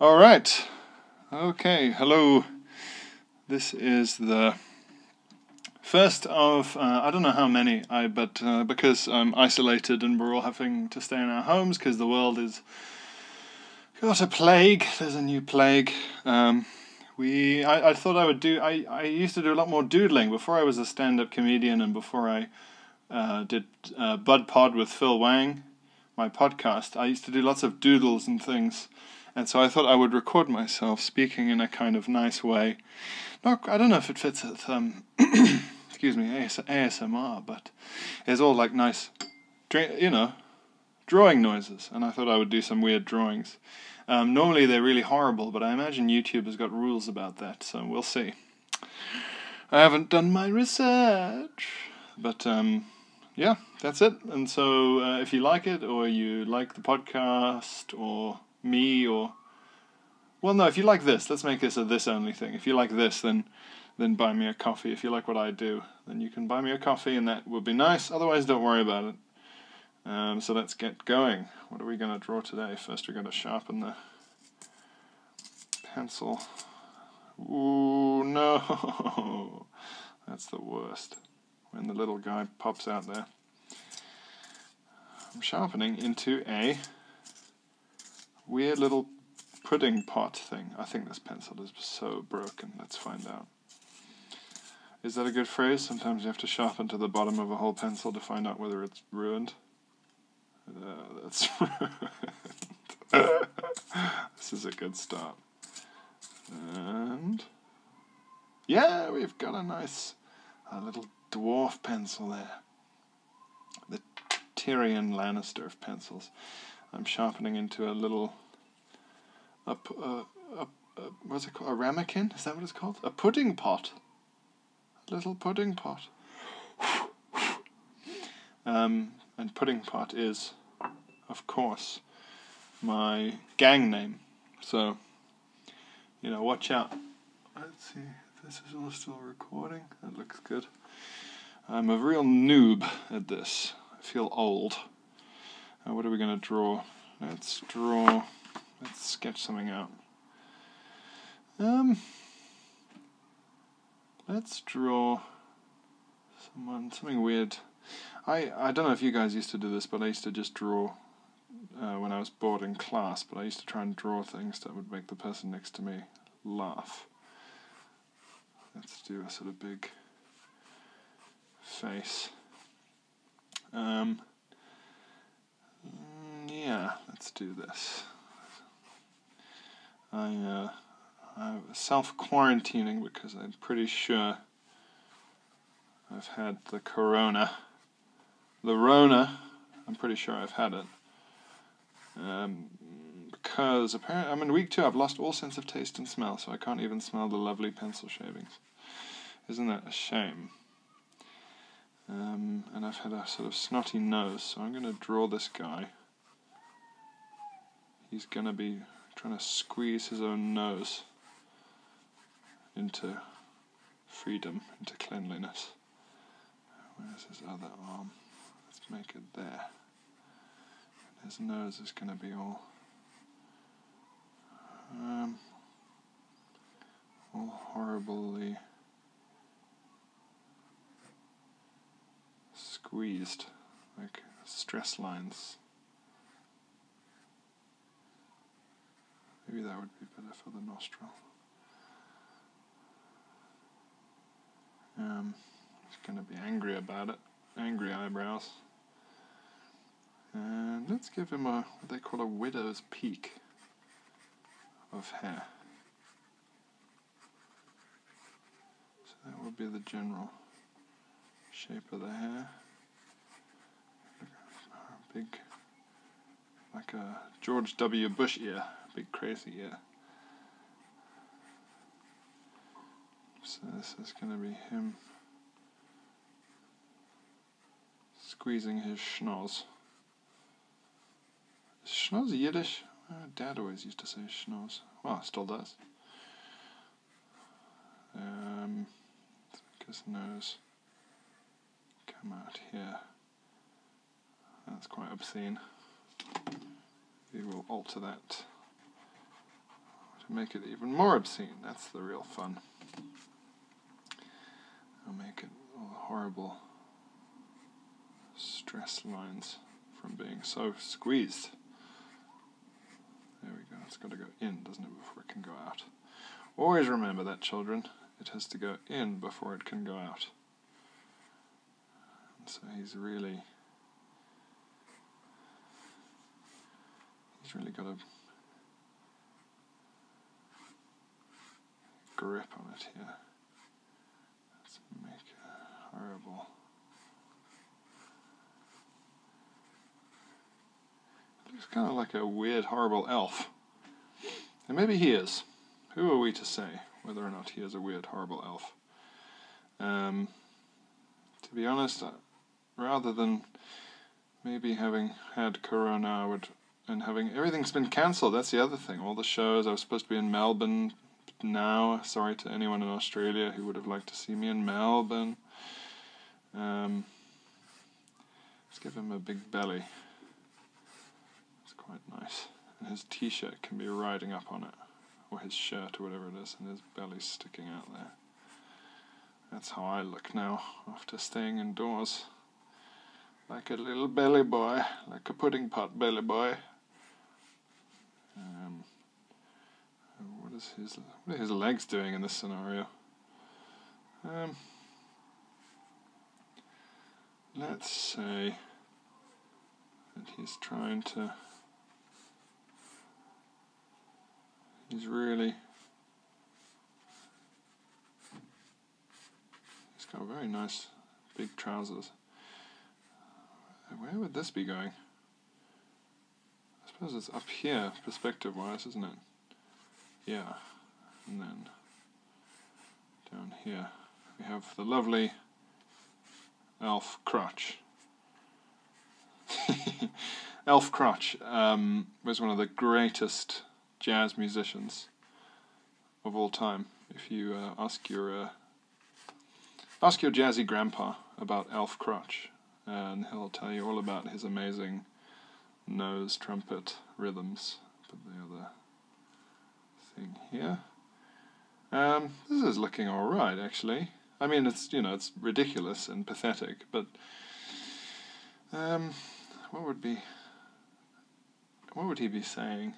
All right. Okay. Hello. This is the first of uh, I don't know how many. I but uh, because I'm isolated and we're all having to stay in our homes because the world is got a plague. There's a new plague. Um, we I, thought I would do. I I used to do a lot more doodling before I was a stand-up comedian and before I uh, did Bud Pod with Phil Wang my podcast, I used to do lots of doodles and things. And so I thought I would record myself speaking in a kind of nice way. Not, I don't know if it fits with, um, excuse me, ASMR, but it's all like nice, you know, drawing noises. And I thought I would do some weird drawings. Um, normally they're really horrible, but I imagine YouTube has got rules about that, so we'll see. I haven't done my research, but um, yeah, that's it. And so uh, if you like it, or you like the podcast, or me, or well, no, if you like this, let's make this a this only thing. If you like this, then then buy me a coffee. If you like what I do, then you can buy me a coffee, and that would be nice. Otherwise, don't worry about it. Um, so let's get going. What are we going to draw today? First, we're going to sharpen the pencil. Oh no! That's the worst. When the little guy pops out there. I'm sharpening into a weird little pudding pot thing. I think this pencil is so broken. Let's find out. Is that a good phrase? Sometimes you have to sharpen to the bottom of a whole pencil to find out whether it's ruined. Uh, that's this is a good stop. And yeah, we've got a nice little dwarf pencil there. The Tyrion Lannister of pencils. I'm sharpening into a little a, a, a, what's it called? A ramekin? Is that what it's called? A pudding pot. A little pudding pot. Um, and pudding pot is, of course, my gang name. So, you know, watch out. Let's see, this is all still recording. That looks good. I'm a real noob at this. I feel old. Uh, what are we going to draw? Let's draw, let's sketch something out. Um, Let's draw someone, something weird. I, I don't know if you guys used to do this, but I used to just draw uh, when I was bored in class, but I used to try and draw things that would make the person next to me laugh. Let's do a sort of big face. Um, mm, yeah, let's do this. I, am uh, self quarantining because I'm pretty sure I've had the corona. The Rona, I'm pretty sure I've had it. Um, because apparently I'm in week two, I've lost all sense of taste and smell, so I can't even smell the lovely pencil shavings. Isn't that a shame? Um, and I've had a sort of snotty nose, so I'm going to draw this guy he's gonna be trying to squeeze his own nose into freedom, into cleanliness. Where's his other arm? Let's make it there. his nose is going to be all, um, all horribly squeezed, like stress lines. Maybe that would be better for the nostril. Um, gonna be angry about it. Angry eyebrows. And let's give him a what they call a widow's peak of hair. So that would be the general shape of the hair. Big, like a George W. Bush ear, big crazy ear. So this is going to be him squeezing his schnoz. Is Yiddish? Uh, Dad always used to say schnoz. Well, still does. Um, because the nose come out here. That's quite obscene. We will alter that to make it even more obscene. That's the real fun. I'll make it horrible stress lines from being so squeezed. There we go. It's got to go in, doesn't it, before it can go out. Always remember that, children. It has to go in before it can go out. so he's really... He's really got a grip on it here. Let's make a horrible... Looks kind of like a weird, horrible elf. And maybe he is. Who are we to say whether or not he is a weird, horrible elf? Um, to be honest, uh, rather than maybe having had Corona, would and having everything's been cancelled. That's the other thing. All the shows I was supposed to be in Melbourne now. Sorry to anyone in Australia who would have liked to see me in Melbourne. Um, let's give him a big belly. It's quite nice. And his t shirt can be riding up on it, or his shirt, or whatever it is, and his belly's sticking out there. That's how I look now after staying indoors. Like a little belly boy, like a pudding pot belly boy. Um, what is his what are his legs doing in this scenario? Um, let's say that he's trying to. He's really. He's got very nice big trousers. Where would this be going? I suppose it's up here, perspective-wise, isn't it? Yeah. And then down here we have the lovely Elf Crutch. Elf Crutch um, was one of the greatest jazz musicians of all time. If you uh, ask your uh, ask your jazzy grandpa about Elf Crutch, and he'll tell you all about his amazing nose trumpet rhythms. Put the other thing here. Um, this is looking all right, actually. I mean, it's you know it's ridiculous and pathetic, but um, what would be what would he be saying?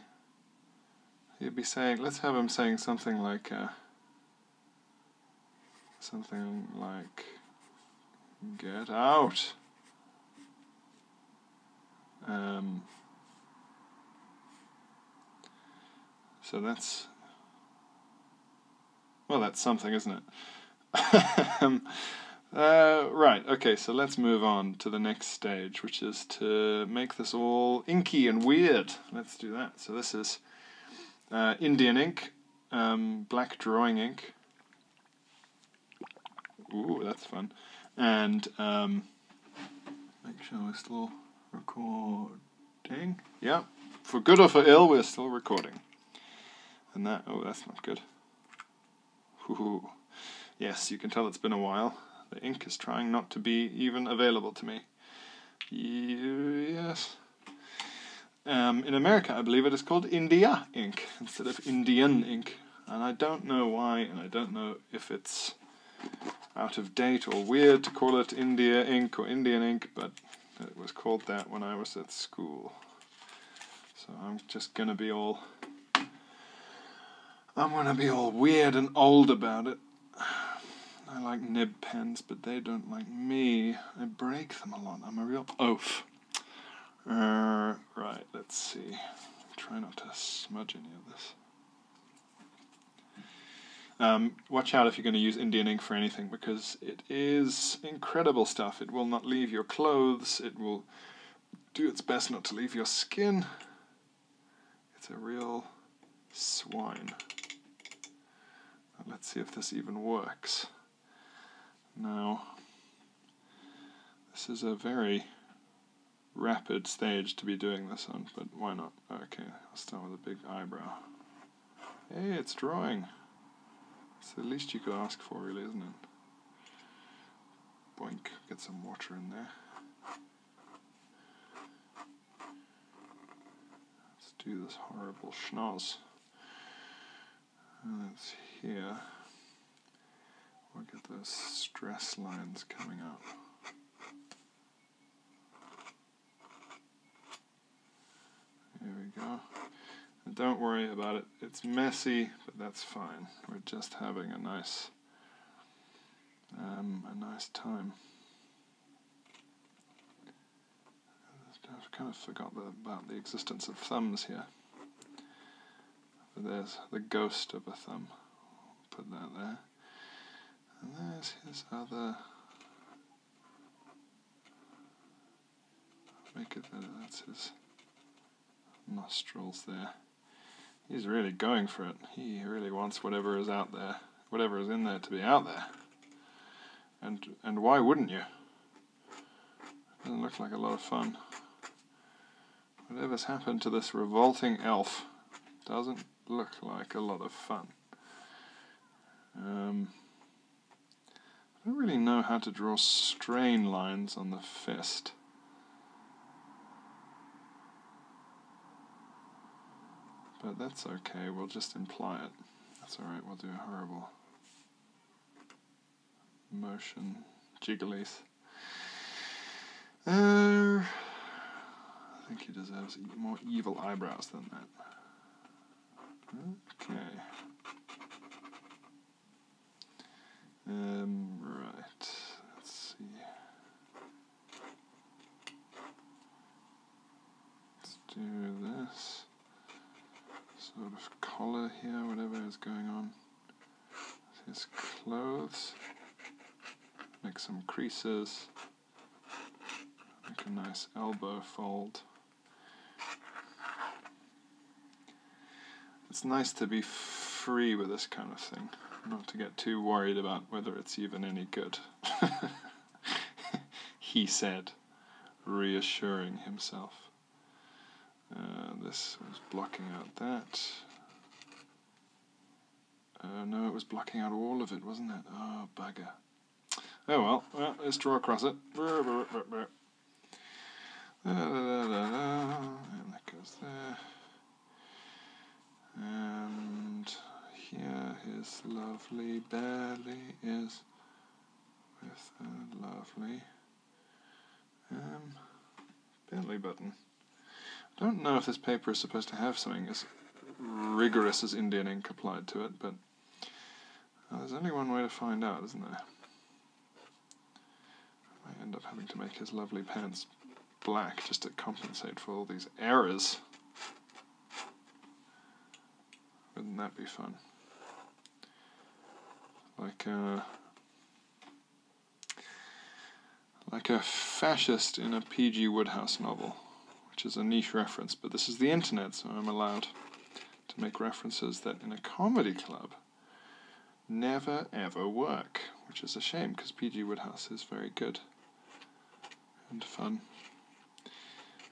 He'd be saying, let's have him saying something like. Uh, Something like, get out! Um, so that's, well, that's something, isn't it? Um, uh, right, okay, so let's move on to the next stage, which is to make this all inky and weird. Let's do that. So this is uh, Indian ink, um, black drawing ink. Ooh, that's fun. And um, make sure we're still recording. Yeah, for good or for ill, we're still recording. And that, oh, that's not good. Yes, you can tell it's been a while. The ink is trying not to be even available to me. Yes. Um, in America, I believe it is called India Ink instead of Indian Ink. And I don't know why, and I don't know if it's out of date or weird to call it India Ink or Indian Ink, but it was called that when I was at school. So I'm just gonna be all. I'm gonna be all weird and old about it. I like nib pens, but they don't like me. I break them a lot. I'm a real oaf. right, let's see. Try not to smudge any of this. Um, watch out if you're going to use Indian ink for anything because it is incredible stuff. It will not leave your clothes. It will do its best not to leave your skin. It's a real swine. Let's see if this even works. Now, this is a very rapid stage to be doing this on, but why not? Okay, I'll start with a big eyebrow. Hey, it's drawing! So at least you could ask for, really, isn't it? Boink, get some water in there. Let's do this horrible schnoz. And it's here. Look at get those stress lines coming up. There we go. don't worry about it. It's messy, but that's fine. We're just having a nice, um, a nice time. I've kind of forgot about the existence of thumbs here. there's the ghost of a thumb. Put that there. And there's his other. Look at that that's his nostrils there. He's really going for it. He really wants whatever is out there, whatever is in there to be out there. And, and why wouldn't you? Doesn't look like a lot of fun. Whatever's happened to this revolting elf doesn't look like a lot of fun. Um, I don't really know how to draw strain lines on the fist. But that's okay, we'll just imply it. That's alright, we'll do a horrible motion jigglies. Uh, I think he deserves more evil eyebrows than that. Okay. Um, right. Let's see. Let's do this sort of collar here, whatever is going on. His clothes. Make some creases. Make a nice elbow fold. It's nice to be free with this kind of thing, not to get too worried about whether it's even any good. he said reassuring himself. Uh, this was blocking out that. Uh, no, it was blocking out all of it, wasn't it? Oh, bugger. Oh well, well let's draw across it. And that goes there. And here his lovely belly is with a lovely Bentley button. I don't know if this paper is supposed to have something as rigorous as Indian ink applied to it, but uh, there's only one way to find out, isn't there? I end up having to make his lovely pants black just to compensate for all these errors. Wouldn't that be fun? Like a like a fascist in a P.G. Woodhouse novel, which is a niche reference, but this is the internet, so I'm allowed to make references that in a comedy club never ever work, which is a shame because P.G. Woodhouse is very good and fun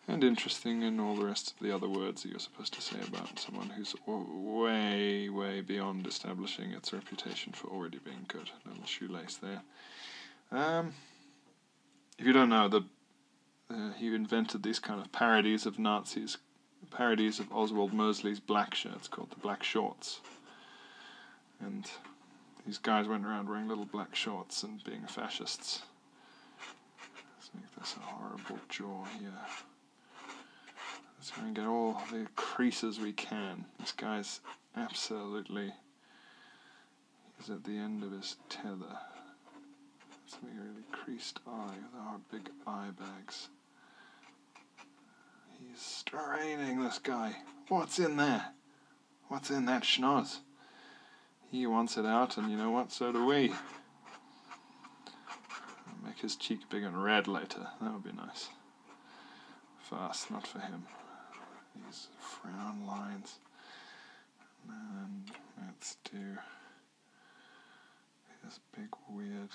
and interesting and all the rest of the other words that you're supposed to say about someone who's way, way beyond establishing its reputation for already being good. Little shoelace there. Um, if you don't know, the he invented these kind of parodies of Nazis, parodies of Oswald Mosley's black shirts called the black shorts, and these guys went around wearing little black shorts and being fascists. Let's make this a horrible jaw here. Let's try and get all the creases we can. This guy's absolutely he's at the end of his tether. Let's make a really creased eye with our big eye bags. He's straining this guy. What's in there? What's in that schnoz? He wants it out, and you know what? So do we. Make his cheek big and red later. That would be nice. For not for him. These frown lines. And let's do this big weird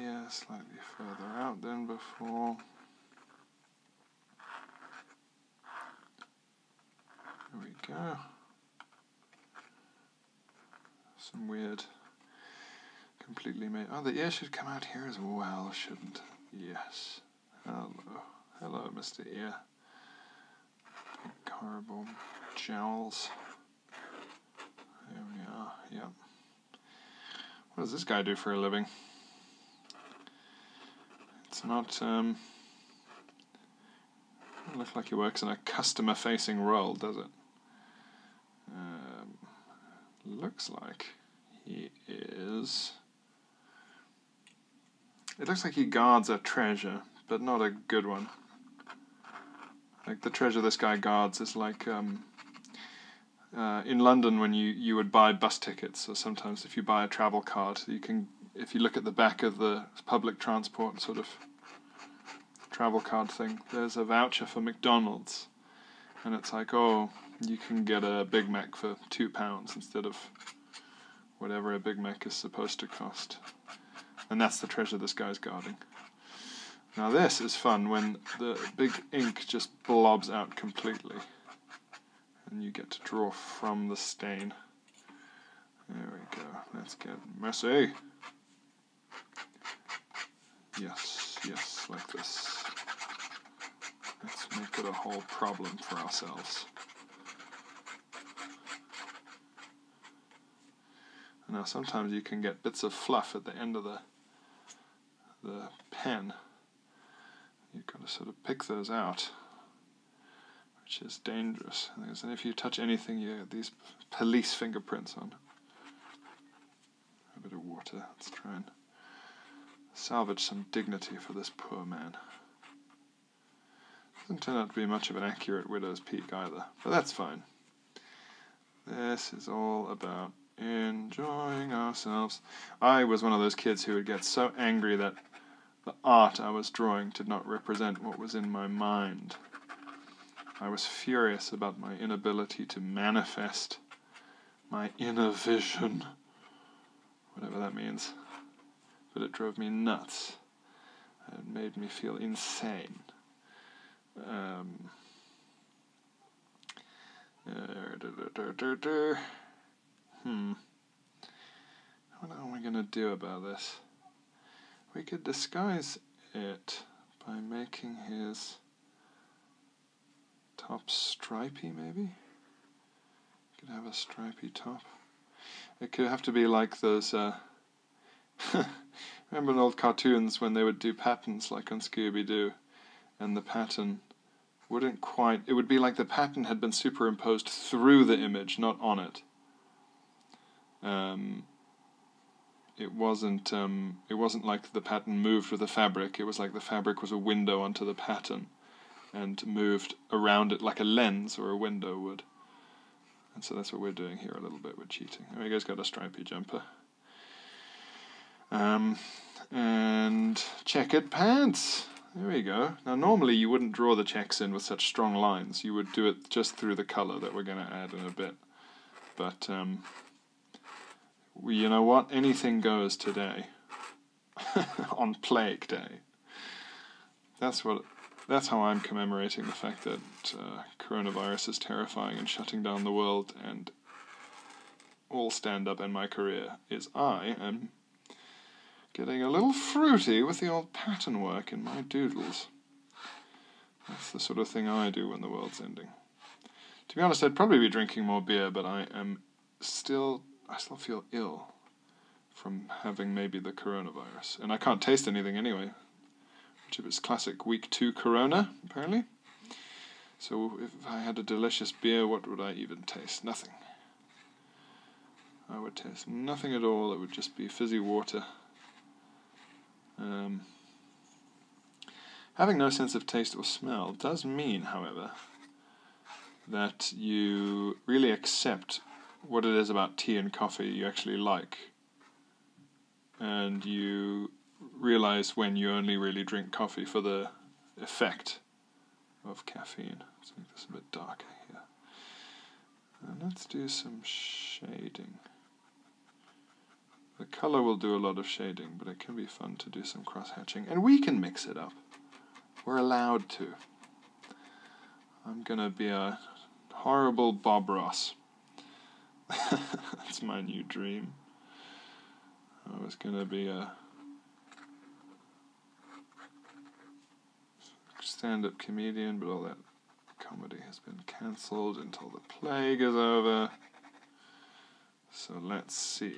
ear slightly further out than before. There we go. Some weird, completely made. Oh, the ear should come out here as well, shouldn't Yes. Hello. Hello, Mr. Ear. horrible jowls. There we are, yep. What does this guy do for a living? It's not, um, does look like he works in a customer-facing role, does it? Um, looks like he is... It looks like he guards a treasure, but not a good one. Like the treasure this guy guards is like um, uh, in London when you, you would buy bus tickets, or sometimes if you buy a travel card, you can if you look at the back of the public transport sort of travel card thing, there's a voucher for McDonald's, and it's like, oh, you can get a Big Mac for two pounds instead of whatever a Big Mac is supposed to cost. And that's the treasure this guy's guarding. Now this is fun when the big ink just blobs out completely and you get to draw from the stain. There we go. Let's get messy. Yes, yes, like this. Let's make it a whole problem for ourselves. Now sometimes you can get bits of fluff at the end of the the pen. You've got to sort of pick those out which is dangerous. And if you touch anything, you get these police fingerprints on. A bit of water. Let's try and salvage some dignity for this poor man. Doesn't turn out to be much of an accurate widow's peak either, but that's fine. This is all about enjoying ourselves. I was one of those kids who would get so angry that the art I was drawing did not represent what was in my mind. I was furious about my inability to manifest my inner vision, whatever that means. But it drove me nuts. It made me feel insane. Um, er, hmm. What are we going to do about this? We could disguise it by making his top stripy, maybe? Could have a stripy top. It could have to be like those. Uh, remember in old cartoons when they would do patterns, like on Scooby Doo, and the pattern wouldn't quite. It would be like the pattern had been superimposed through the image, not on it. Um, it wasn't um, it wasn't like the pattern moved with the fabric. It was like the fabric was a window onto the pattern, and moved around it like a lens or a window would. And so that's what we're doing here a little bit. We're cheating. Omega's got a stripy jumper. Um, and checkered pants. There we go. Now normally you wouldn't draw the checks in with such strong lines. You would do it just through the color that we're going to add in a bit. But um, you know what? Anything goes today on Plague Day. That's what. That's how I'm commemorating the fact that uh, coronavirus is terrifying and shutting down the world and all stand up in my career is I am getting a little fruity with the old pattern work in my doodles. That's the sort of thing I do when the world's ending. To be honest, I'd probably be drinking more beer, but I am still I still feel ill from having maybe the coronavirus, and I can't taste anything anyway, which is classic week two corona apparently. So if I had a delicious beer, what would I even taste? Nothing. I would taste nothing at all. It would just be fizzy water um, having no sense of taste or smell does mean, however, that you really accept what it is about tea and coffee you actually like. And you realize when you only really drink coffee for the effect of caffeine. Let's make this a bit darker here let's do some shading. The color will do a lot of shading, but it can be fun to do some cross-hatching. And we can mix it up. We're allowed to. I'm gonna be a horrible Bob Ross. That's my new dream. I was gonna be a stand-up comedian, but all that Comedy has been cancelled until the plague is over. So let's see.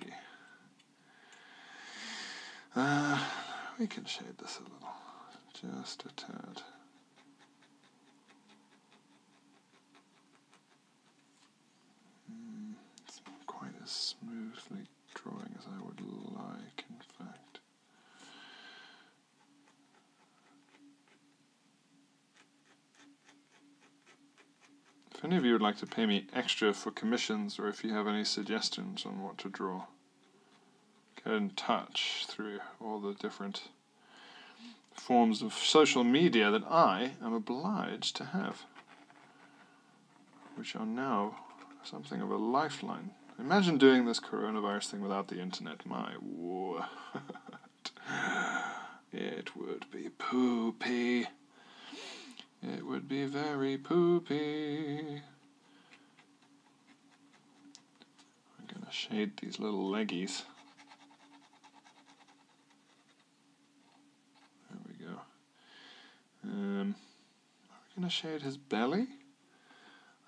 Uh, we can shade this a little, just a tad. Hmm, it's not quite as smoothly drawing as I would like, in fact. If any of you would like to pay me extra for commissions or if you have any suggestions on what to draw, get in touch through all the different forms of social media that I am obliged to have, which are now something of a lifeline. Imagine doing this coronavirus thing without the internet. My war. It would be poopy. It would be very poopy. I'm going to shade these little leggies. There we go. Um, are we going to shade his belly?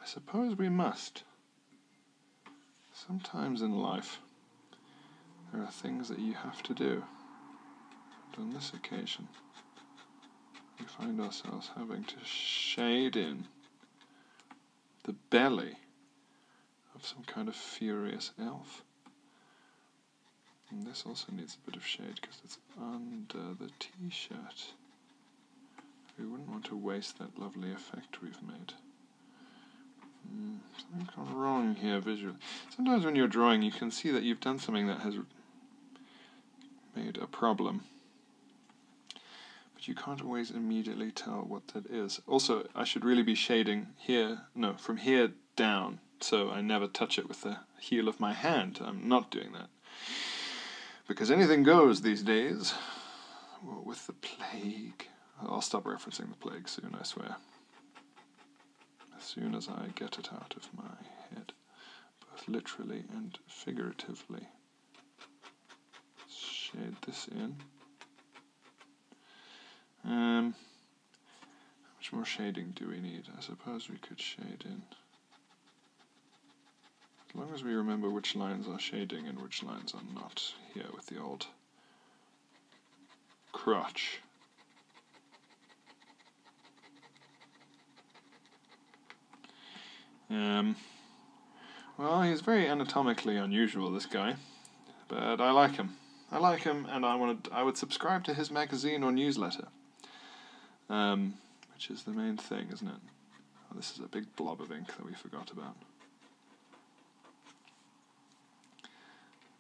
I suppose we must. Sometimes in life, there are things that you have to do. on this occasion, we find ourselves having to shade in the belly of some kind of furious elf. And this also needs a bit of shade because it's under the t shirt. We wouldn't want to waste that lovely effect we've made. Hmm, something's gone wrong here visually. Sometimes when you're drawing you can see that you've done something that has made a problem. But you can't always immediately tell what that is. Also, I should really be shading here, no, from here down, so I never touch it with the heel of my hand. I'm not doing that. Because anything goes these days. with the plague. I'll stop referencing the plague soon, I swear. As soon as I get it out of my head, both literally and figuratively. Shade this in. Um, how much more shading do we need? I suppose we could shade in. As long as we remember which lines are shading and which lines are not, here with the old crotch. Um, well, he's very anatomically unusual, this guy, but I like him. I like him, and I wanted I would subscribe to his magazine or newsletter, um, which is the main thing, isn't it? Oh, this is a big blob of ink that we forgot about.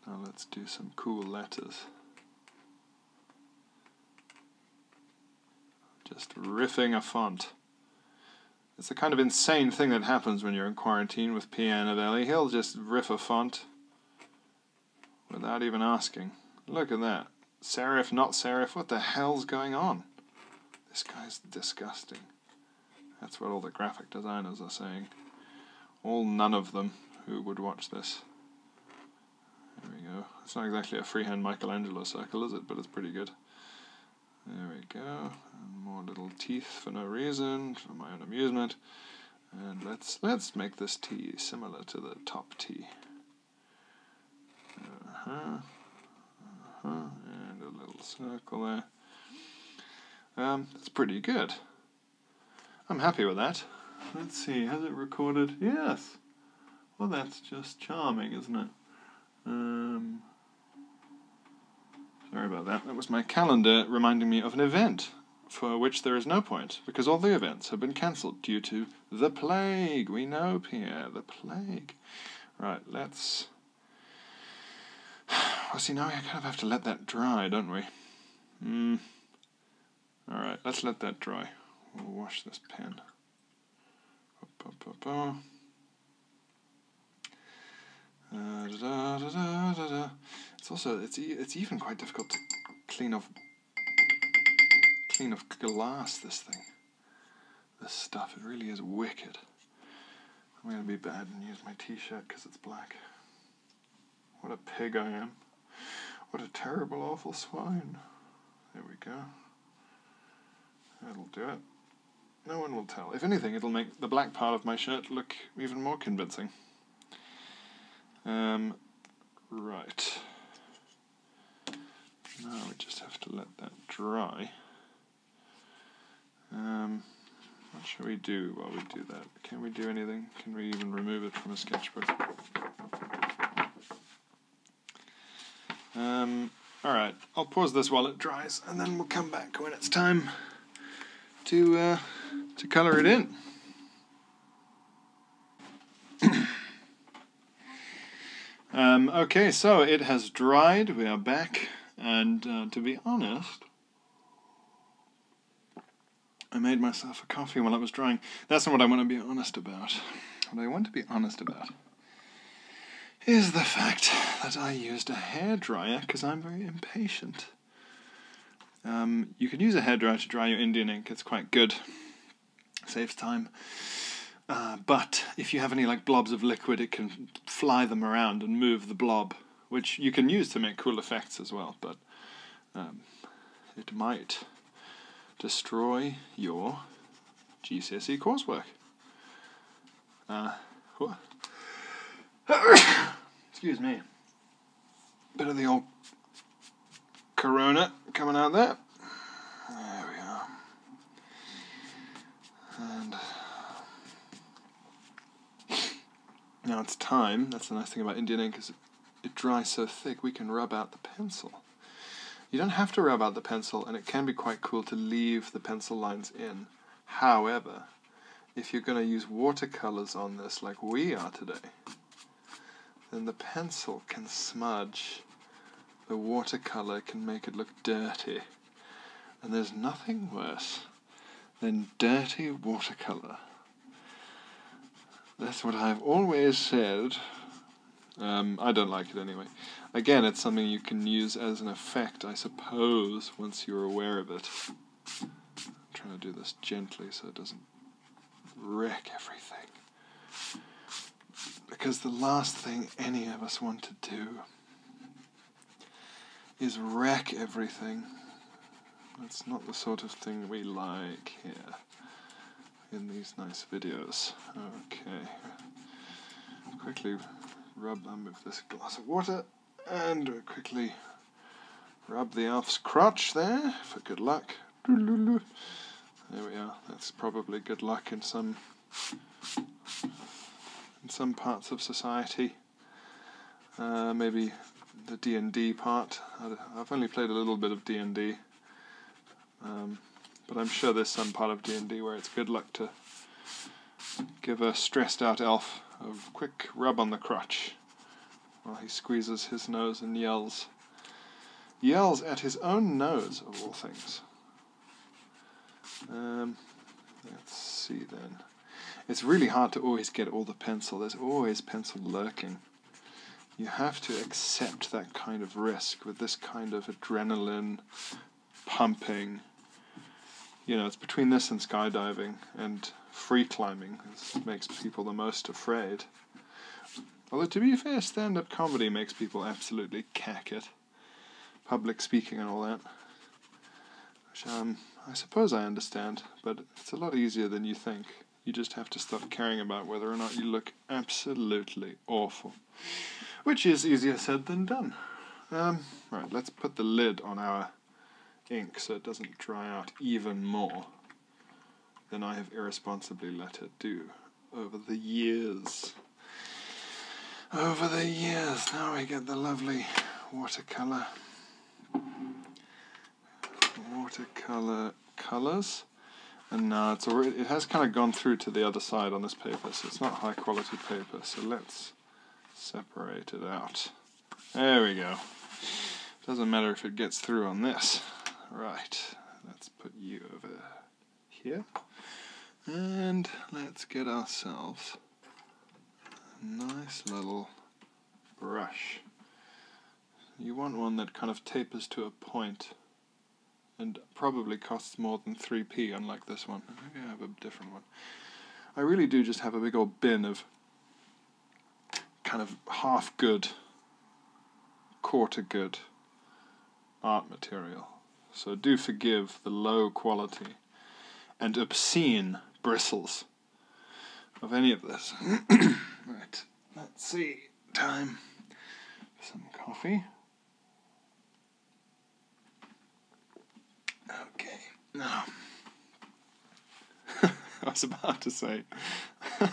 Now let's do some cool letters. Just riffing a font. It's the kind of insane thing that happens when you're in quarantine with P. Annabelli. He'll just riff a font without even asking. Look at that. Serif, not serif, what the hell's going on? This guy's disgusting. That's what all the graphic designers are saying. All none of them who would watch this. There we go. It's not exactly a freehand Michelangelo circle, is it? But it's pretty good. There we go. more little teeth for no reason, for my own amusement. And let's let's make this T similar to the top T. Uh-huh. And a little circle there. Um, that's pretty good. I'm happy with that. Let's see, has it recorded? Yes! Well, that's just charming, isn't it? Um, sorry about that. That was my calendar reminding me of an event for which there is no point, because all the events have been cancelled due to the plague. We know, Pierre, the plague. Right, let's Well, see, now we kind of have to let that dry, don't we? Hmm. Alright, let's let that dry. We'll wash this pen. it's also it's it's even quite difficult to clean off clean off glass. This thing, this stuff, it really is wicked. I'm gonna be bad and use my t-shirt because it's black. What a pig I am. What a terrible, awful swine. There we go. That'll do it. No one will tell. If anything, it'll make the black part of my shirt look even more convincing. Um, right. Now we just have to let that dry. Um, what should we do while we do that? Can we do anything? Can we even remove it from a sketchbook? Um, alright, I'll pause this while it dries and then we'll come back when it's time to, uh, to colour it in. Um, okay, so it has dried. We are back. And uh, to be honest, I made myself a coffee while I was drawing. That's not what I want to be honest about. What I want to be honest about is the fact that I used a hairdryer because I'm very impatient. Um, you can use a hairdryer to dry your Indian ink, it's quite good, saves time. Uh, but if you have any like blobs of liquid, it can fly them around and move the blob which you can use to make cool effects as well, but um, it might destroy your GCSE coursework. Uh, Excuse me. Better the old corona coming out there. There we are. And now it's time. That's the nice thing about Indian ink is it, dries so thick we can rub out the pencil. You don't have to rub out the pencil, and it can be quite cool to leave the pencil lines in. However, if you're going to use watercolors on this like we are today, then the pencil can smudge, the watercolor can make it look dirty, and there's nothing worse then dirty watercolour. That's what I've always said. Um, I don't like it anyway. Again, it's something you can use as an effect, I suppose, once you're aware of it. I'm trying to do this gently so it doesn't wreck everything. Because the last thing any of us want to do is wreck everything. That's not the sort of thing we like here in these nice videos. Okay, quickly rub them with this glass of water and quickly rub the elf's crotch there for good luck. There we are. That's probably good luck in some in some parts of society. Uh, maybe the D&D part. I've only played a little bit of D&D. Um, but I'm sure there's some part of D&D where it's good luck to give a stressed out elf a quick rub on the crotch while he squeezes his nose and yells. Yells at his own nose, of all things. Um, let's see then. It's really hard to always get all the pencil. There's always pencil lurking. You have to accept that kind of risk with this kind of adrenaline pumping. You know, it's between this and skydiving and free climbing. It makes people the most afraid. Although, to be fair, stand up comedy makes people absolutely cack it. Public speaking and all that. Um, I suppose I understand, but it's a lot easier than you think. You just have to stop caring about whether or not you look absolutely awful. Which is easier said than done. Um, right, let's put the lid on our ink so it doesn't dry out even more than I have irresponsibly let it do over the years. Over the years, now we get the lovely watercolour watercolor colors and now it's already it has kind of gone through to the other side on this paper so it's not high quality paper so let's separate it out there we go doesn't matter if it gets through on this right let's put you over here and let's get ourselves nice little brush. You want one that kind of tapers to a point and probably costs more than 3p unlike this one. Maybe I have a different one. I really do just have a big old bin of kind of half good, quarter good art material. So do forgive the low quality and obscene bristles of any of this. right, let's see. Time for some coffee. Okay, now. I was about to say. I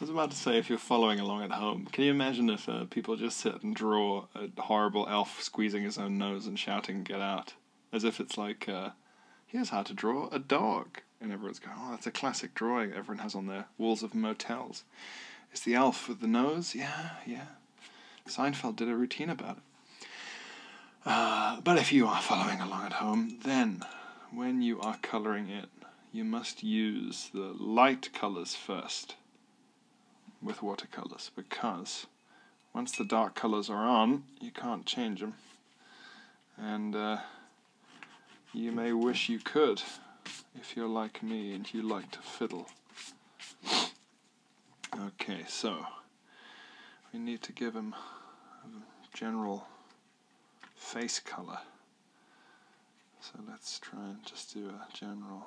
was about to say, if you're following along at home, can you imagine if uh, people just sit and draw a horrible elf squeezing his own nose and shouting, Get out? as if it's like, uh, here's how to draw a dog, and everyone's going, oh, that's a classic drawing everyone has on their walls of motels. It's the elf with the nose, yeah, yeah. Seinfeld did a routine about it. Uh, but if you are following along at home, then when you are colouring it, you must use the light colours first with watercolours because once the dark colors are on, you can't change them. And uh, you may wish you could if you're like me and you like to fiddle. Okay, so we need to give him a general face color. So let's try and just do a general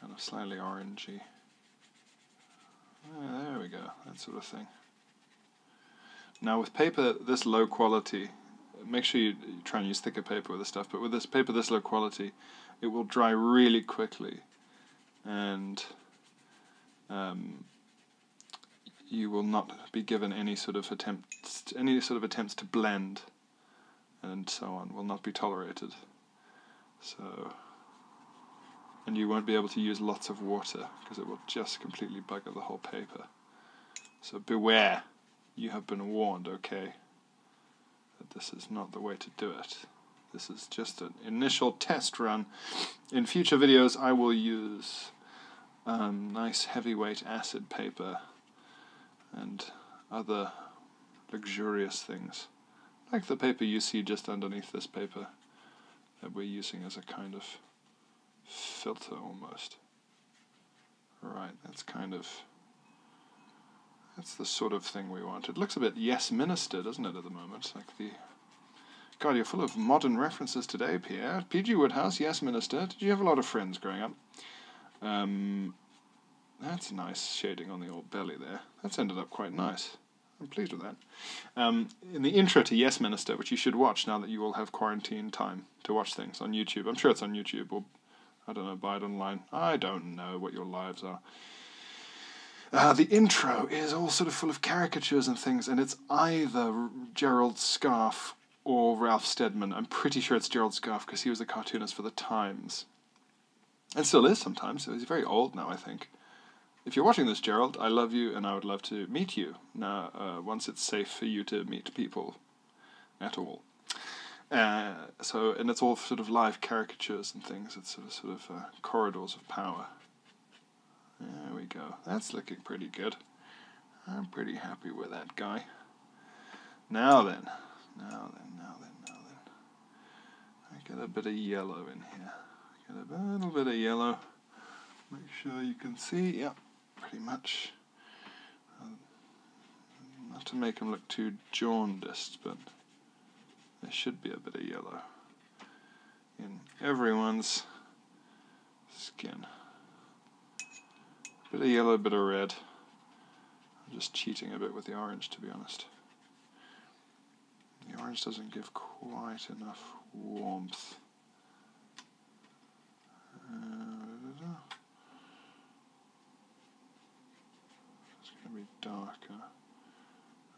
kind of slightly orangey Ah, there we go, that sort of thing. Now with paper this low quality, make sure you try and use thicker paper with this stuff, but with this paper this low quality, it will dry really quickly and um, you will not be given any sort of attempts any sort of attempts to blend and so on will not be tolerated. So, and you won't be able to use lots of water because it will just completely bugger the whole paper. So beware, you have been warned, okay, that this is not the way to do it. This is just an initial test run. In future videos, I will use um, nice heavyweight acid paper and other luxurious things like the paper you see just underneath this paper that we're using as a kind of filter almost. Right, that's kind of, that's the sort of thing we want. It looks a bit yes minister, doesn't it, at the moment? Like the, God, you're full of modern references today, Pierre. P.G. Woodhouse, yes minister. Did you have a lot of friends growing up? Um, that's nice shading on the old belly there. That's ended up quite nice. I'm pleased with that. Um, in the intro to Yes Minister, which you should watch now that you all have quarantine time to watch things on YouTube. I'm sure it's on YouTube or I don't know, buy it online. I don't know what your lives are. Uh, the intro is all sort of full of caricatures and things, and it's either Gerald Scarfe or Ralph Steadman. I'm pretty sure it's Gerald Scarfe because he was a cartoonist for The Times and still is sometimes. So he's very old now, I think. If you're watching this, Gerald, I love you and I would love to meet you now uh, once it's safe for you to meet people at all. Uh, so, and it's all sort of live caricatures and things. It's sort of, sort of uh, corridors of power. There we go. That's looking pretty good. I'm pretty happy with that guy. Now then, now then, now then, now then. I get a bit of yellow in here. Get a little bit of yellow. Make sure you can see. Yep, pretty much. Um, not to make them look too jaundiced, but there should be a bit of yellow in everyone's skin. Bit of yellow, bit of red. I'm just cheating a bit with the orange, to be honest. The orange doesn't give quite enough warmth. Uh, it's going to be darker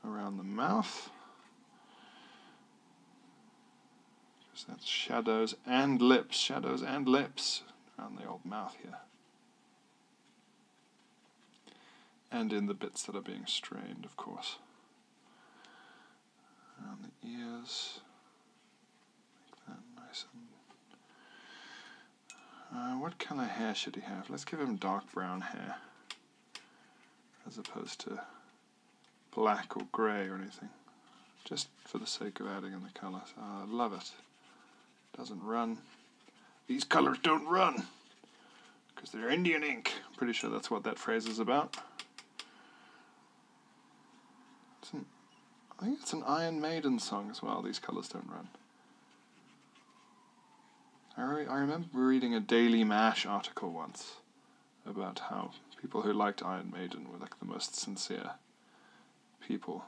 around the mouth. Because that's shadows and lips, shadows and lips around the old mouth here and in the bits that are being strained, of course. Around the ears, make that nice uh, what color hair should he have? Let's give him dark brown hair, as opposed to black or grey or anything, just for the sake of adding in the colour. I ah, love it. Doesn't run. These colours don't run because they're Indian ink. pretty sure that's what that phrase is about. I think it's an Iron Maiden song as well, These Colors Don't Run. I, I remember reading a Daily Mash article once about how people who liked Iron Maiden were like the most sincere people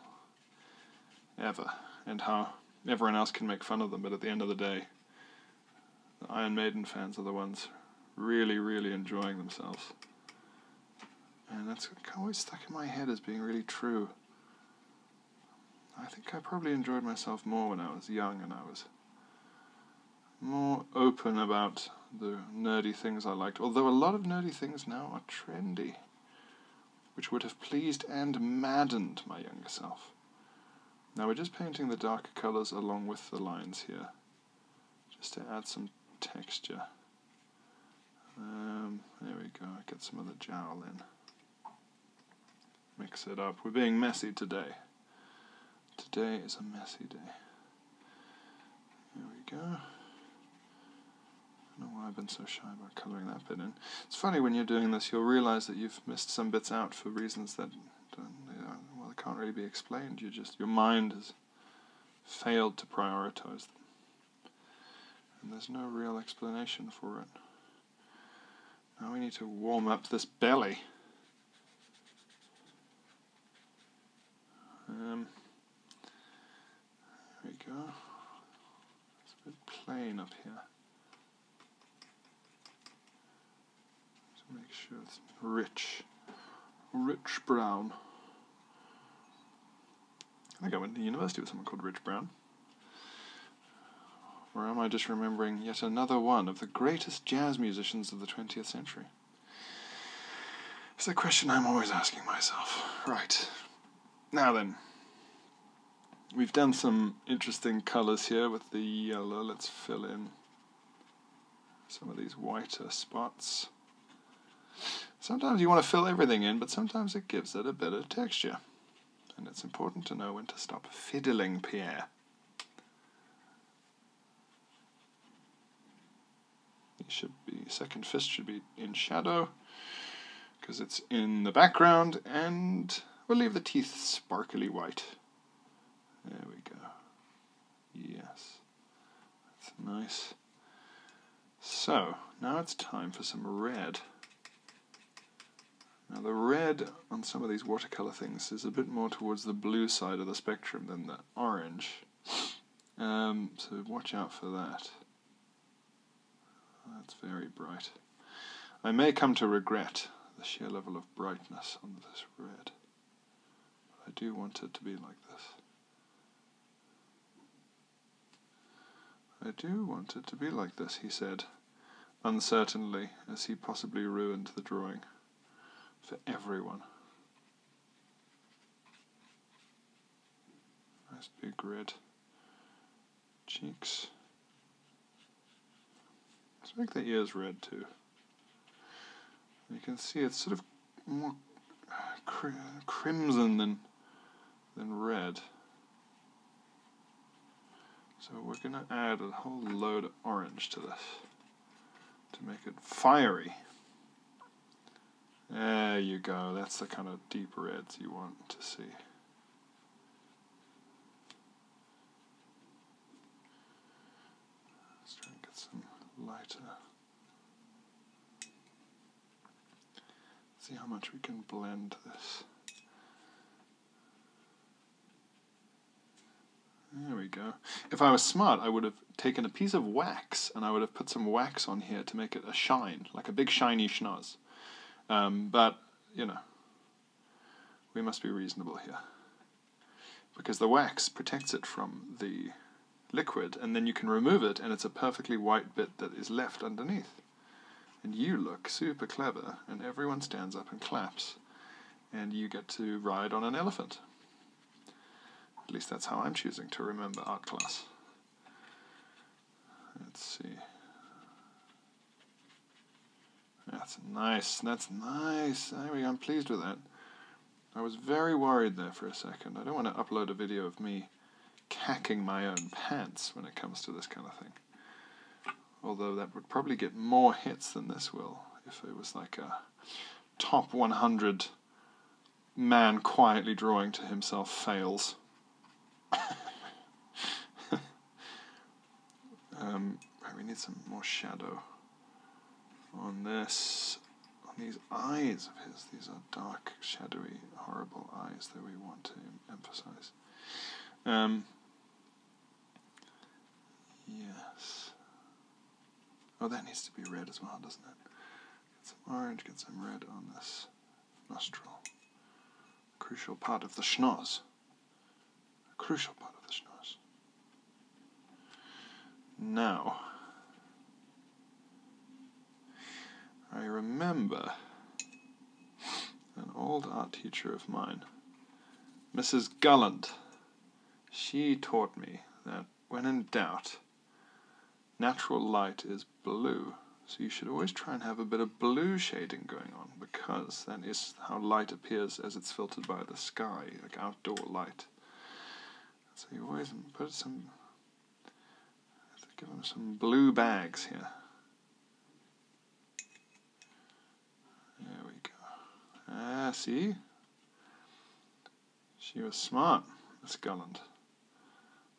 ever, and how everyone else can make fun of them, but at the end of the day, the Iron Maiden fans are the ones really, really enjoying themselves. And that's always stuck in my head as being really true. I think I probably enjoyed myself more when I was young and I was more open about the nerdy things I liked, although a lot of nerdy things now are trendy, which would have pleased and maddened my younger self. Now we're just painting the darker colors along with the lines here, just to add some texture. Um, there we go, get some of the jowl in. Mix it up. We're being messy today. Today is a messy day. There we go. I don't know why I've been so shy about colouring that bit in. It's funny when you're doing this, you'll realise that you've missed some bits out for reasons that well, they can't really be explained. You just your mind has failed to prioritize them, and there's no real explanation for it. Now we need to warm up this belly. Um, there we go. It's a bit plain up here. So make sure it's rich, rich brown. I think I went to university with someone called Rich Brown. Or am I just remembering yet another one of the greatest jazz musicians of the 20th century? It's a question I'm always asking myself. Right. Now then. We've done some interesting colours here with the yellow. Let's fill in some of these whiter spots. Sometimes you want to fill everything in, but sometimes it gives it a bit of texture. And it's important to know when to stop fiddling Pierre. You second fist should be in shadow, because it's in the background, and we'll leave the teeth sparkly white. There we go. Yes. That's nice. So, now it's time for some red. Now the red on some of these watercolour things is a bit more towards the blue side of the spectrum than the orange. Um, so watch out for that. That's very bright. I may come to regret the sheer level of brightness on this red. I do want it to be like this. I do want it to be like this, he said, uncertainly, as he possibly ruined the drawing for everyone. Nice big red cheeks. I think the E is red too. You can see it's sort of more crimson than than red. So we're going to add a whole load of orange to this to make it fiery. There you go, that's the kind of deep reds you want to see. Let's try and get some lighter. See how much we can blend this. There we go. If I was smart, I would have taken a piece of wax and I would have put some wax on here to make it a shine, like a big shiny schnoz. Um, but, you know, we must be reasonable here. Because the wax protects it from the liquid, and then you can remove it, and it's a perfectly white bit that is left underneath. And you look super clever, and everyone stands up and claps, and you get to ride on an elephant. At least that's how I'm choosing to remember art class. Let's see. That's nice, that's nice. I'm pleased with that. I was very worried there for a second. I don't want to upload a video of me cacking my own pants when it comes to this kind of thing. Although that would probably get more hits than this will if it was like a top 100 man quietly drawing to himself fails. Um, we need some more shadow on this, on these eyes of his. These are dark, shadowy, horrible eyes that we want to emphasize. Um, yes. Oh, that needs to be red as well, doesn't it? Get some orange, get some red on this nostril. Crucial part of the schnoz a crucial part of this noise. Now, I remember an old art teacher of mine, Mrs. Gallant. She taught me that when in doubt, natural light is blue. So you should always try and have a bit of blue shading going on because that is how light appears as it's filtered by the sky. Door light. So you always put some, give them some blue bags here. There we go. Ah, see? She was smart, Miss Garland.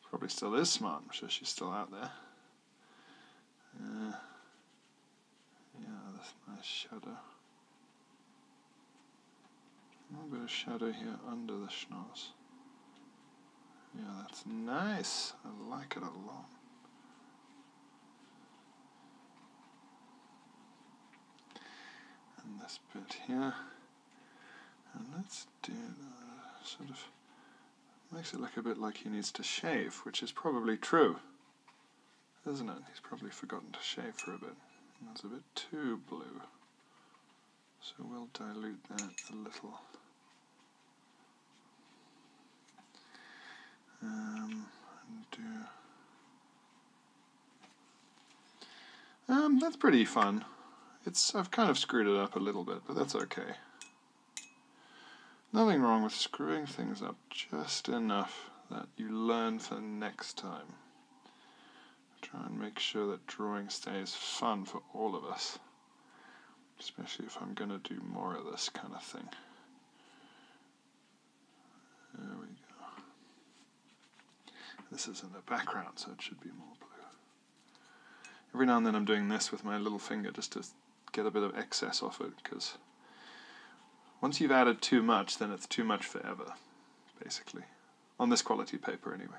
Probably still is smart, I'm sure she's still out there. Uh, yeah, that's nice shadow. A little bit of shadow here under the schnoz. Yeah, that's nice. I like it a lot. And this bit here. And let's do sort of makes it look a bit like he needs to shave, which is probably true isn't it? He's probably forgotten to shave for a bit. That's a bit too blue. So we'll dilute that a little. Um, do um, that's pretty fun. It's I've kind of screwed it up a little bit, but that's okay. Nothing wrong with screwing things up just enough that you learn for next time. Try and make sure that drawing stays fun for all of us, especially if I'm going to do more of this kind of thing. There we go. This is in the background, so it should be more blue. Every now and then I'm doing this with my little finger just to get a bit of excess off it because once you've added too much, then it's too much forever, basically. On this quality paper, anyway.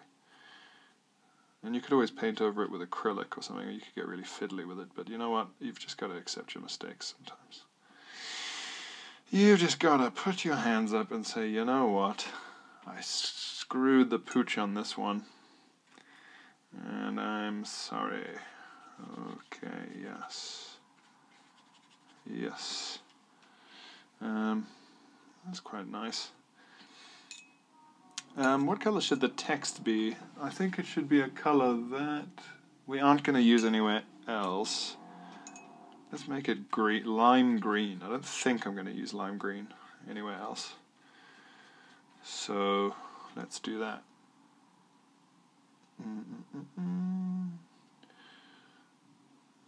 And you could always paint over it with acrylic or something, you could get really fiddly with it, but you know what? You've just got to accept your mistakes sometimes. You've just got to put your hands up and say, you know what? I screwed the pooch on this one. And I'm sorry. Okay, yes. Yes. Um, that's quite nice. Um, what color should the text be? I think it should be a color that we aren't going to use anywhere else. Let's make it green, lime green. I don't think I'm going to use lime green anywhere else. So let's do that. Mm, mm, mm,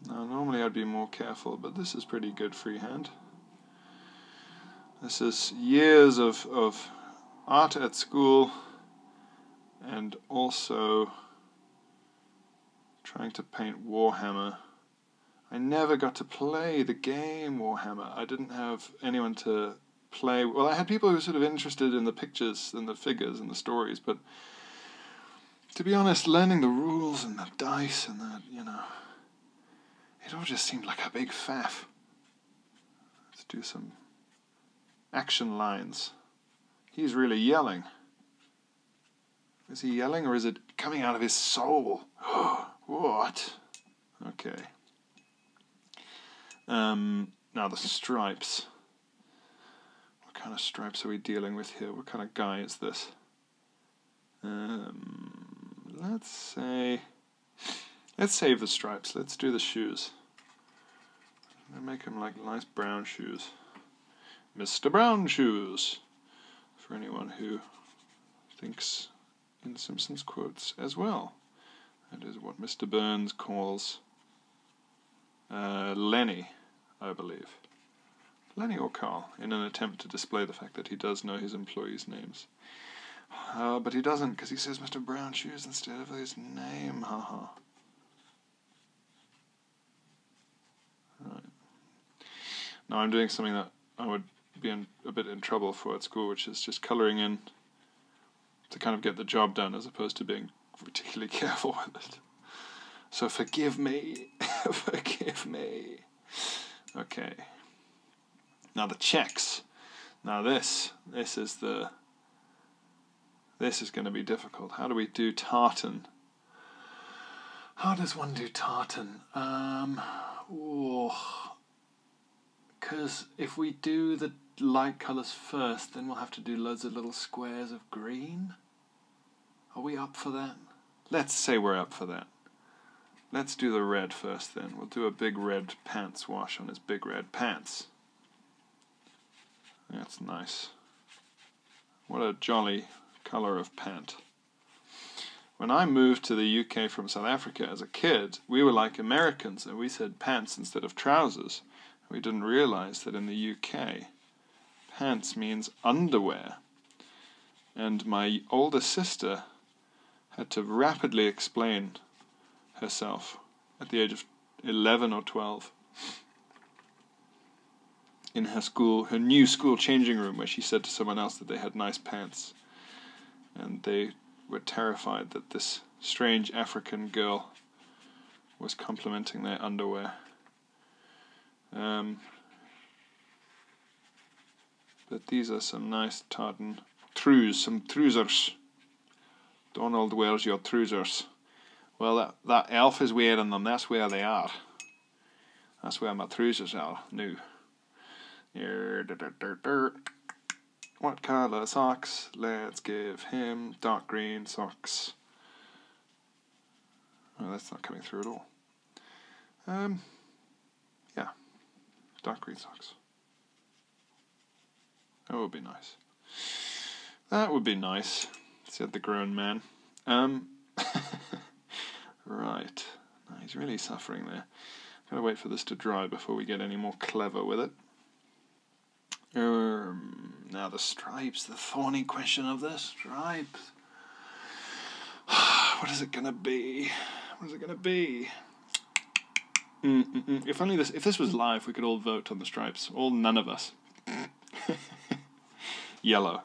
now normally I'd be more careful, but this is pretty good freehand. This is years of, of art at school and also trying to paint Warhammer. I never got to play the game Warhammer. I didn't have anyone to play. Well, I had people who were sort of interested in the pictures and the figures and the stories, but to be honest, learning the rules and the dice and that you know, it all just seemed like a big faff. Let's do some action lines. He's really yelling. Is he yelling or is it coming out of his soul? what? Okay. Um, now the stripes. What kind of stripes are we dealing with here? What kind of guy is this? Um, let's say, let's save the stripes. Let's do the shoes. Let's make them like nice brown shoes. Mr. Brown Shoes. For anyone who thinks in Simpsons quotes as well. That is what Mr. Burns calls uh, Lenny, I believe. Lenny or Carl, in an attempt to display the fact that he does know his employees' names. Uh, but he doesn't, because he says Mr. Brown Shoes instead of his name, haha. Right. Now I'm doing something that I would be a bit in trouble for at school, which is just colouring in to kind of get the job done as opposed to being particularly careful with it. So forgive me, forgive me. Okay. Now the checks. Now this, this is the, this is going to be difficult. How do we do tartan? How does one do tartan? Um, because if we do the light colours first, then we'll have to do loads of little squares of green. Are we up for that? Let's say we're up for that. Let's do the red first then. We'll do a big red pants wash on his big red pants. That's nice. What a jolly colour of pant. When I moved to the UK from South Africa as a kid, we were like Americans and we said pants instead of trousers. We didn't realize that in the UK Pants means underwear. And my older sister had to rapidly explain herself at the age of 11 or 12 in her school, her new school changing room, where she said to someone else that they had nice pants. And they were terrified that this strange African girl was complimenting their underwear. Um, but these are some nice tartan trews, some trousers. Donald, wears your trousers? Well, that, that elf is wearing them, that's where they are. That's where my trousers are now. What colour socks? Let's give him dark green socks. Well, that's not coming through at all. Um, yeah, dark green socks. That would be nice. That would be nice, said the grown man. Um, right. he's really suffering there. Gotta wait for this to dry before we get any more clever with it. Um, now the stripes, the thorny question of the stripes. what is it gonna be? What is it gonna be? If only this, if this was live, we could all vote on the stripes. All none of us. Yellow.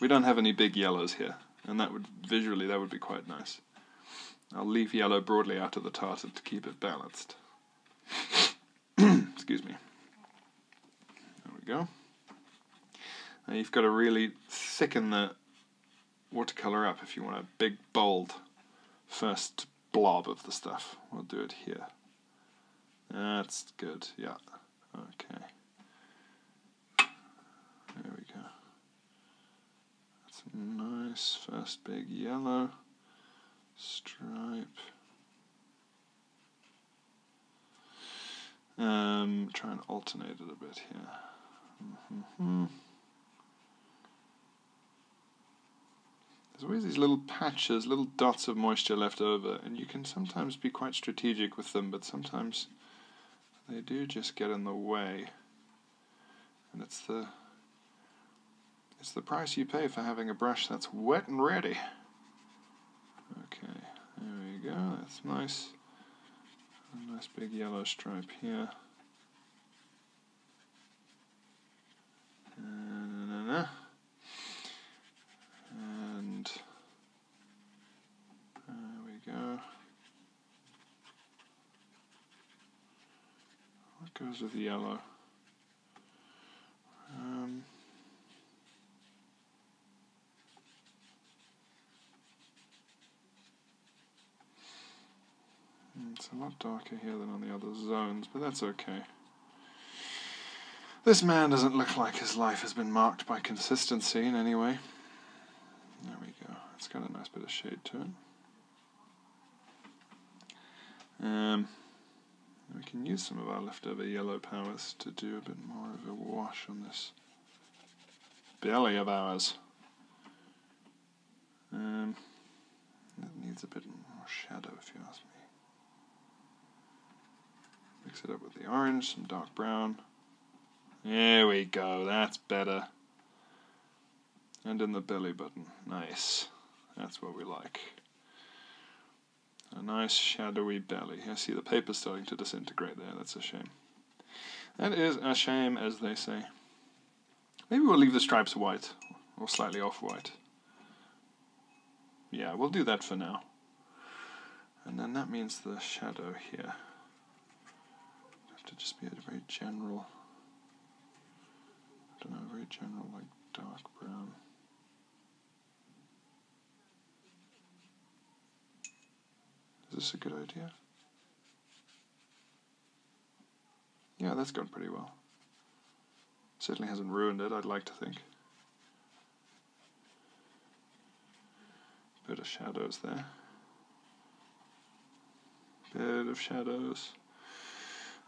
We don't have any big yellows here, and that would visually that would be quite nice. I'll leave yellow broadly out of the tartan to keep it balanced. Excuse me. There we go. Now you've got to really thicken the watercolour up if you want a big, bold first blob of the stuff. We'll do it here. That's good, yeah. Okay. There we go. That's a nice first big yellow stripe. Um, try and alternate it a bit here. There's always these little patches, little dots of moisture left over, and you can sometimes be quite strategic with them, but sometimes they do just get in the way. And it's the it's the price you pay for having a brush that's wet and ready. Okay, there we go, that's nice. nice big yellow stripe here. And there we go. What goes with the yellow? Um, it's a lot darker here than on the other zones, but that's okay. This man doesn't look like his life has been marked by consistency in any way. There we go. It's got a nice bit of shade to it. Um, we can use some of our leftover yellow powers to do a bit more of a wash on this belly of ours. Um, it needs a bit more shadow if you ask me. Mix it up with the orange, some dark brown. There we go, that's better. And in the belly button, nice. That's what we like. A nice shadowy belly. I see the paper starting to disintegrate there. That's a shame. That is a shame, as they say. Maybe we'll leave the stripes white, or slightly off-white. Yeah, we'll do that for now. And then that means the shadow here. Have to just be a very general, don't know, very general, like dark brown. Is this a good idea? Yeah, that's gone pretty well. Certainly hasn't ruined it, I'd like to think. Bit of shadows there. Bit of shadows.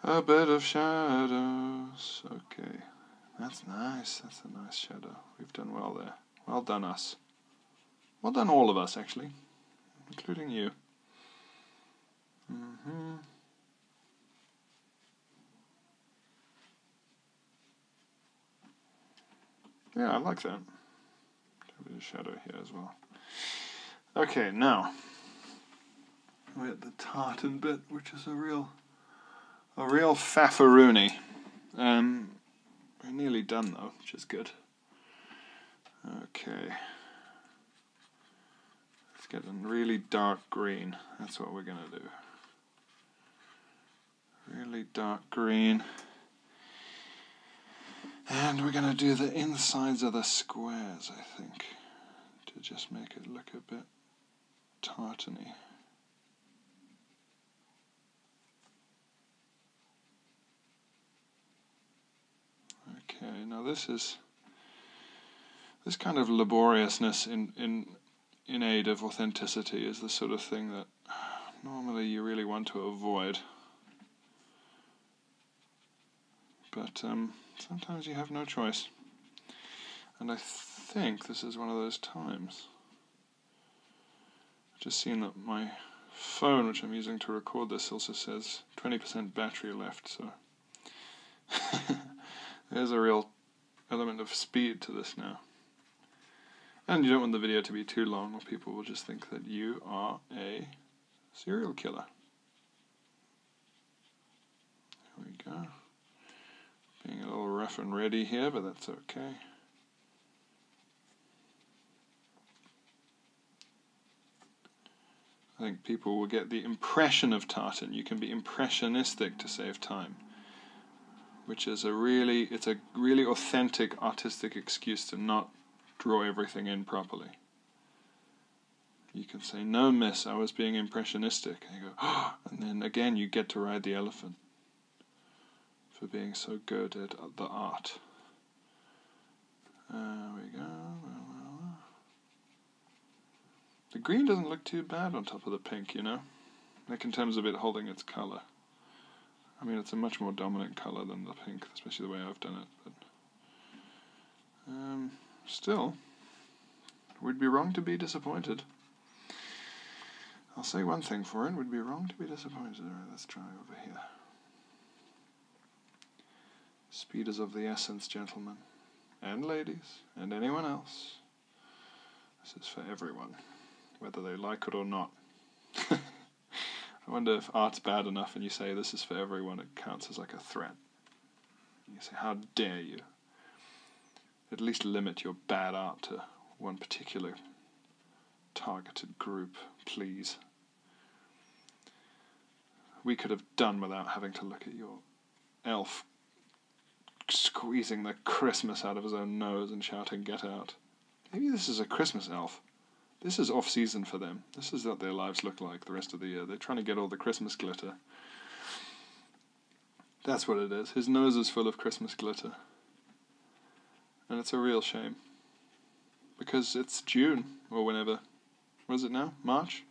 A bit of shadows. Okay, that's nice. That's a nice shadow. We've done well there. Well done us. Well done all of us, actually. Including you. Mm hmm Yeah, I like that. A bit of shadow here as well. Okay, now we're at the tartan bit, which is a real a real fafaroonie. Um, we're nearly done though, which is good. Okay. It's getting really dark green. That's what we're going to do. Really dark green. And we're going to do the insides of the squares, I think, to just make it look a bit tartany. Okay, now this is this kind of laboriousness in in in aid of authenticity is the sort of thing that normally you really want to avoid. But um, sometimes you have no choice. And I think this is one of those times. Just seeing that my phone, which I'm using to record this, also says 20% battery left, so there's a real element of speed to this now. And you don't want the video to be too long, or people will just think that you are a serial killer. There we go. Being a little rough and ready here, but that's okay. I think people will get the impression of tartan. You can be impressionistic to save time, which is a really it's a really authentic artistic excuse to not draw everything in properly. You can say, "No, miss, I was being impressionistic," and go, and then again you get to ride the elephant for being so good at the art. There uh, we go. The green doesn't look too bad on top of the pink, you know? Like in terms of it holding its colour. I mean, it's a much more dominant colour than the pink, especially the way I've done it, but... Um, still, we'd be wrong to be disappointed. I'll say one thing for it, would be wrong to be disappointed. let's try over here. Speed is of the essence, gentlemen, and ladies, and anyone else. This is for everyone, whether they like it or not. I wonder if art's bad enough and you say this is for everyone, it counts as like a threat. You say, how dare you? at least limit your bad art to one particular targeted group, please. We could have done without having to look at your elf squeezing the Christmas out of his own nose and shouting, Get out. Maybe this is a Christmas elf. This is off season for them. This is what their lives look like the rest of the year. They're trying to get all the Christmas glitter. That's what it is. His nose is full of Christmas glitter. And it's a real shame. Because it's June, or whenever. What is it now? March?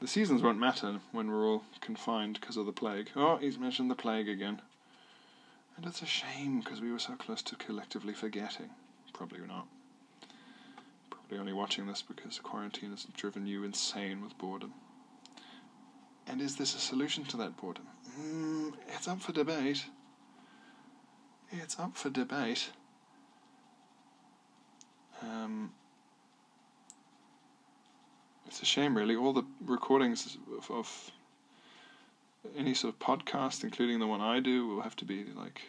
The seasons won't matter when we're all confined because of the plague. Oh, he's mentioned the plague again. And it's a shame because we were so close to collectively forgetting. Probably not. Probably only watching this because quarantine has driven you insane with boredom. And is this a solution to that problem? Mm, it's up for debate. It's up for debate. Um, it's a shame, really. All the recordings of any sort of podcast, including the one I do, will have to be like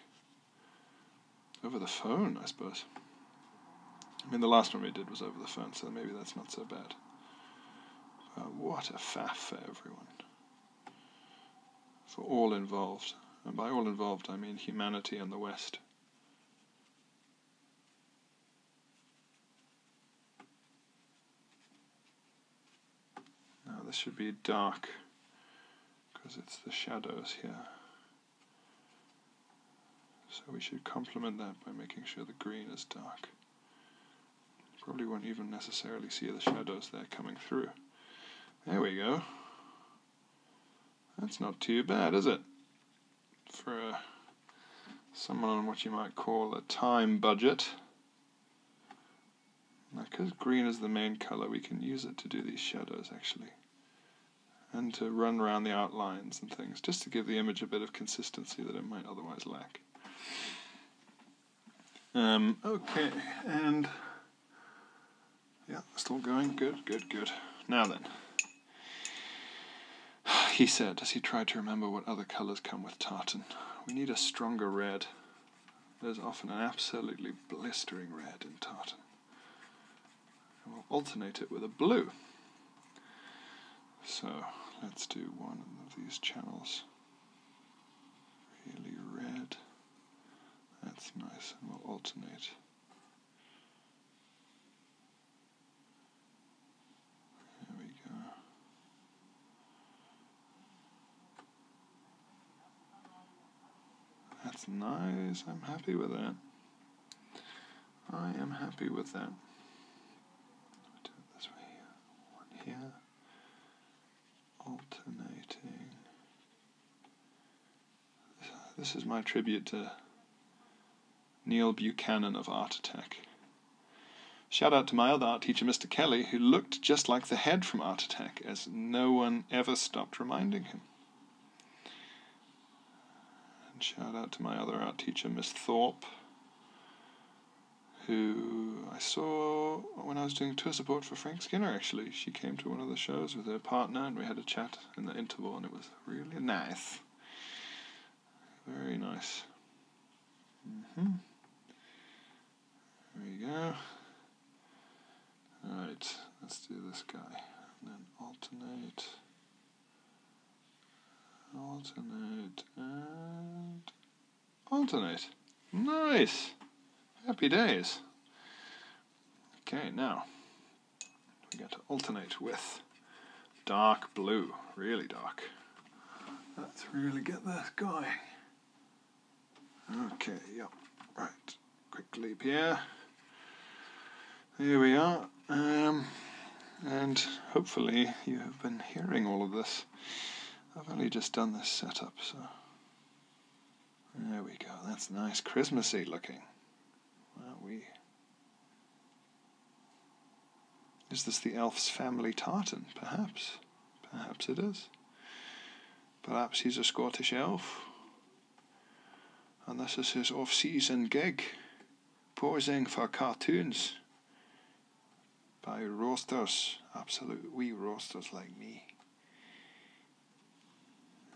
over the phone, I suppose. I mean, the last one we did was over the phone, so maybe that's not so bad. Uh, what a faff for everyone, for all involved. And by all involved, I mean humanity and the West. Now, this should be dark because it's the shadows here. So we should complement that by making sure the green is dark. Probably won't even necessarily see the shadows there coming through. There we go. That's not too bad, is it? For uh, someone on what you might call a time budget. because green is the main colour, we can use it to do these shadows, actually. And to run around the outlines and things, just to give the image a bit of consistency that it might otherwise lack. Um, okay, and yeah, still going. Good, good, good. Now then. He said as he tried to remember what other colours come with tartan. We need a stronger red. There's often an absolutely blistering red in tartan. we'll alternate it with a blue. So let's do one of these channels. Really red. That's nice, and we'll alternate. There we go. That's nice, I'm happy with that. I am happy with that. Do it this way one here, alternating. This is my tribute to Neil Buchanan of Art Attack. Shout out to my other art teacher, Mr. Kelly, who looked just like the head from Art Attack, as no one ever stopped reminding him. And shout out to my other art teacher, Miss Thorpe, who I saw when I was doing tour support for Frank Skinner actually. She came to one of the shows with her partner and we had a chat in the interval and it was really nice. Very nice. Mm-hmm. There we go. Alright, let's do this guy. then alternate. Alternate and alternate. Nice. Happy days. Okay, now we got to alternate with dark blue, really dark. Let's really get this going. Okay, yep, right. Quick leap here. Here we are. Um, and hopefully you have been hearing all of this I've only just done this setup, so... There we go. That's nice Christmassy looking. Wow, we... Is this the elf's family tartan? Perhaps. Perhaps it is. Perhaps he's a Scottish elf. And this is his off-season gig, posing for cartoons by roasters, absolute wee roasters like me.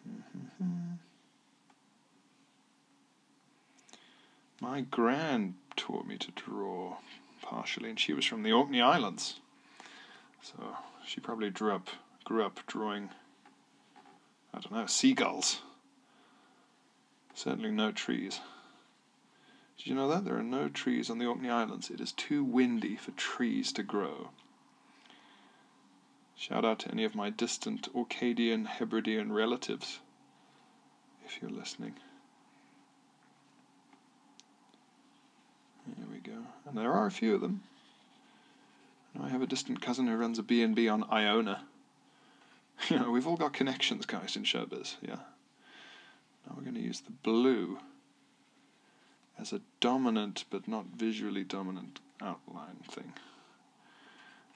Mm-hmm. My grand taught me to draw partially, and she was from the Orkney Islands, so she probably grew up grew up drawing. I don't know seagulls. Certainly no trees. Did you know that? There are no trees on the Orkney Islands. It is too windy for trees to grow. Shout out to any of my distant Orcadian Hebridean relatives, if you're listening. There we go. And there are a few of them. I have a distant cousin who runs a B&B on Iona. You know, we've all got connections, guys, in showbiz, yeah. Now we're going to use the blue as a dominant but not visually dominant outline thing.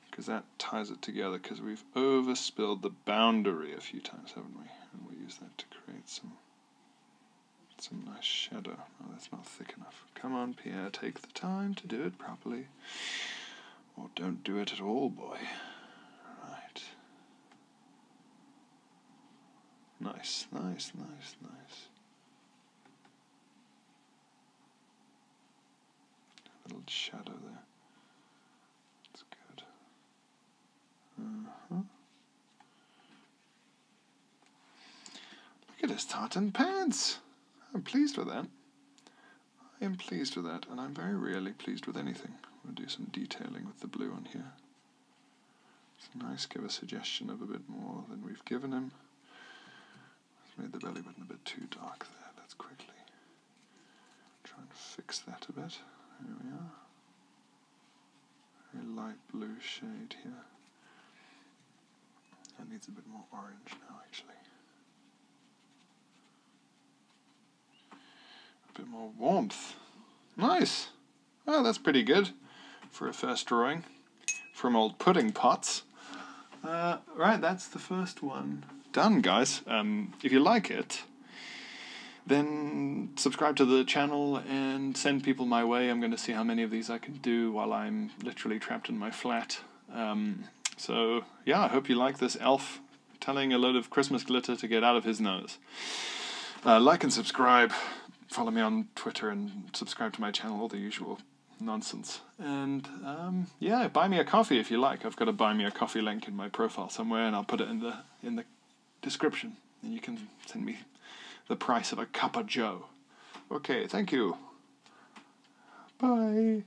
Because that ties it together, because we've overspilled the boundary a few times, haven't we? And we'll use that to create some some nice shadow. Oh, that's not thick enough. Come on, Pierre, take the time to do it properly. Or don't do it at all, boy. Right. Nice, nice, nice, nice. little shadow there. That's good. Uh-huh. Look at his tartan pants. I'm pleased with that. I am pleased with that, and I'm very rarely pleased with anything. We'll do some detailing with the blue on here. It's nice, give a suggestion of a bit more than we've given him. Let's made the belly button a bit too dark there. Let's quickly try and fix that a bit. There we are. Very light blue shade here. That needs a bit more orange now, actually. A bit more warmth. Nice. Oh, that's pretty good for a first drawing from old pudding pots. Uh, right, that's the first one. Done, guys. Um, if you like it, then subscribe to the channel and send people my way. I'm going to see how many of these I can do while I'm literally trapped in my flat. Um, so, yeah, I hope you like this elf telling a load of Christmas glitter to get out of his nose. Uh, like and subscribe. Follow me on Twitter and subscribe to my channel, all the usual nonsense. And um, yeah, buy me a coffee if you like. I've got a buy me a coffee link in my profile somewhere, and I'll put it in the in the description, and you can send me the price of a cup of Joe. Okay, thank you. Bye.